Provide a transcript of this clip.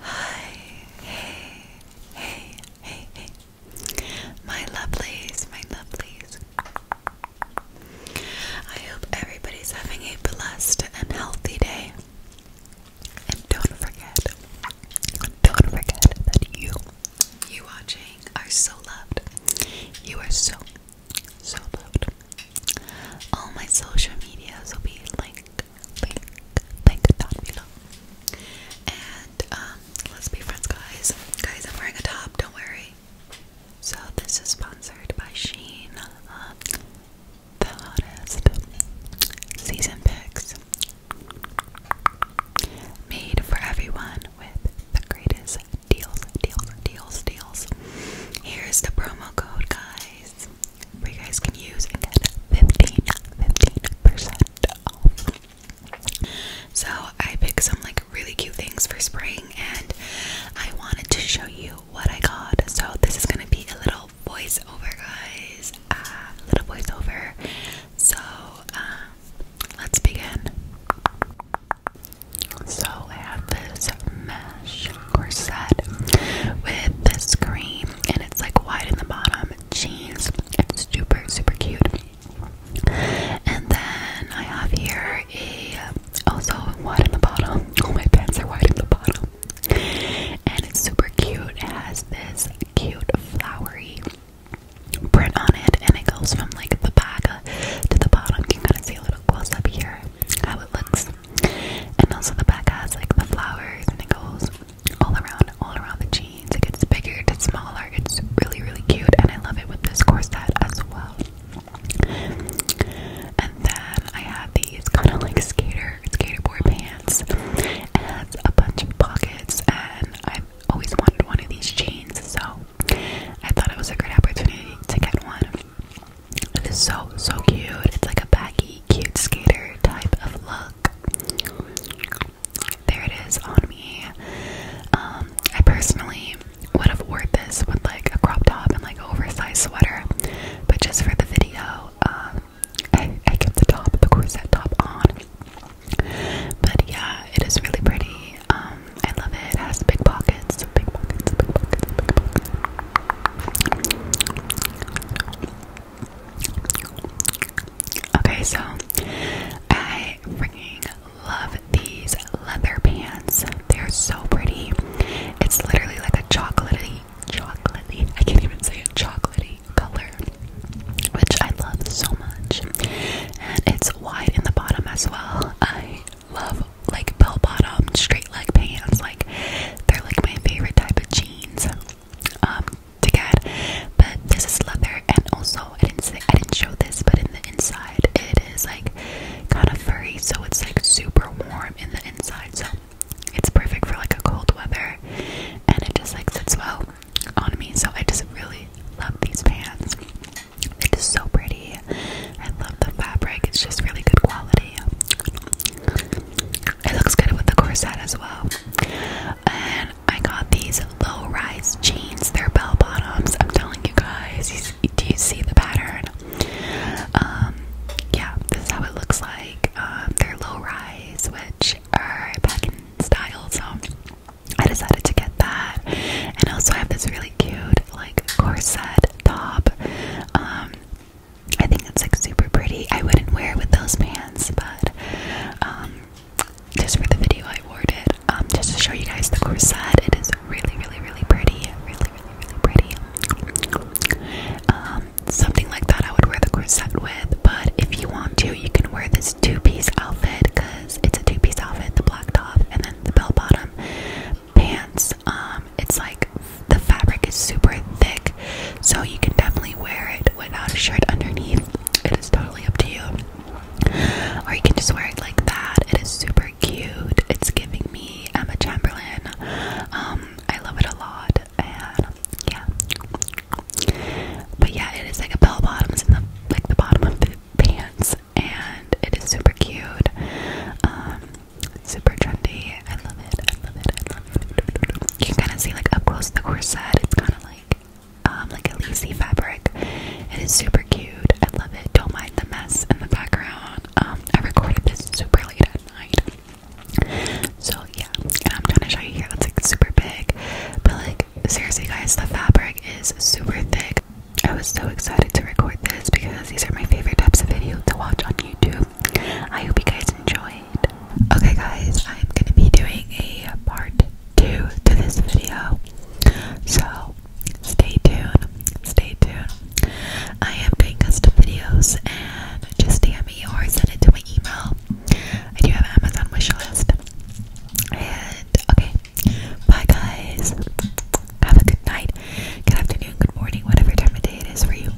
Hi, hey, hey, hey, hey. My lovelies, my lovelies. I hope everybody's having a blessed and healthy day. And don't forget, don't forget that you, you watching, are so loved. You are so, so loved. All my social medias will be linked, linked, linked down below. And um, let's be friends, guys. Guys, I'm wearing a top. Don't worry. So this is sponsored by Sheen, um, the hottest season picks, made for everyone with the greatest deals, deals, deals, deals. Here's the promo code, guys. Where you guys can use and get 15, 15% So I picked some like really cute things for spring and I wanted to show you what I got. So this is gonna be a little voiceover guys. Ah, a uh, little voiceover. So um, let's begin. So I have this mesh corset with this cream and it's like wide in the bottom, jeans. It's super, super cute. And then I have here a also wide in the bottom. Oh my pants are wide in the bottom. And it's super cute. It has this cute flowery print on it and it goes from like the back to the bottom. You can kind of see a little close up here how it looks. And also the back has like the flowers and it goes all around, all around the jeans. It gets bigger, it gets smaller. It's really, really cute and I love it with this corset as well. And then I have these kind of like skater, skateboard pants. It has a bunch of pockets and i am always wanted one of these chains, so I thought it was a great opportunity to get one. It is so, so cute. It's like a baggy, cute skater type of look. There it is on me. Um, I personally would have worn this with like a crop top and like oversized sweater, but just for the video, um, I, kept the top, the corset top on. But yeah, it is really pretty. Um, I love it. It has big pockets, big pockets, big pockets, big pockets. Okay, so I freaking love these leather pants. They're so pretty. It's literally like a chocolatey, chocolatey. I can't even say it. Chocolatey color, which I love so much. And it's wide in the bottom as well. I love like bell bottom, straight leg pants. Like they're like my favorite type of jeans um to get. But this is leather, and also I didn't I didn't show this, but in the inside it is like kind of furry, so it's like super warm in the inside. So it's perfect for like a cold weather and it just like sits well on me. So I just really love these pants. They're so pretty. I love the fabric. It's just really good quality. It looks good with the corset as well. And I got these low rise jeans. They're bell bottoms. I'm telling you guys. Do you see the pattern? Um, yeah, this is how it looks like. Um, they're low rise, which are back in style, so I decided to get that. And also, I have this really cute, like, corset top. Um, I think it's like super pretty. I wouldn't wear it with those pants, but just for the video, I wore it just to show you guys the corset. It is really, really, really pretty. Really, really, really pretty. Um, something like that I would wear the corset with, but if you want to, you can wear this two piece outfit because it's a two piece outfit the black top and then the bell bottom pants. Um, it's like the fabric is super thick, so you can definitely wear it without a shirt underneath. It is totally up to you. Or you can just wear it like that. It is super cute. It's giving me Emma Chamberlain. Um, I love it a lot. And yeah. But yeah, it is like a bell bottoms in the like the bottom of the pants and it is super cute. Um, super trendy. I love it. I love it. I love it. You can kind of see like up close the corset. It's kind of like um, like a lacy fabric. It is super cute. I love it. Don't mind the mess in the background. Um, I recorded this super late at night. So yeah, and I'm trying to show you here. That's like super big, but like seriously, guys, the fabric is super thick. I was so excited to record this because these are my favorite types of videos to watch on YouTube. I hope you guys enjoyed. Okay, guys, I'm gonna be doing a part two to this video. So stay tuned, stay tuned. I am doing custom videos and just DM me or send it to my email. I do have an Amazon list. And okay. Bye guys. Have a good night, good afternoon, good morning, whatever time of day it is for you.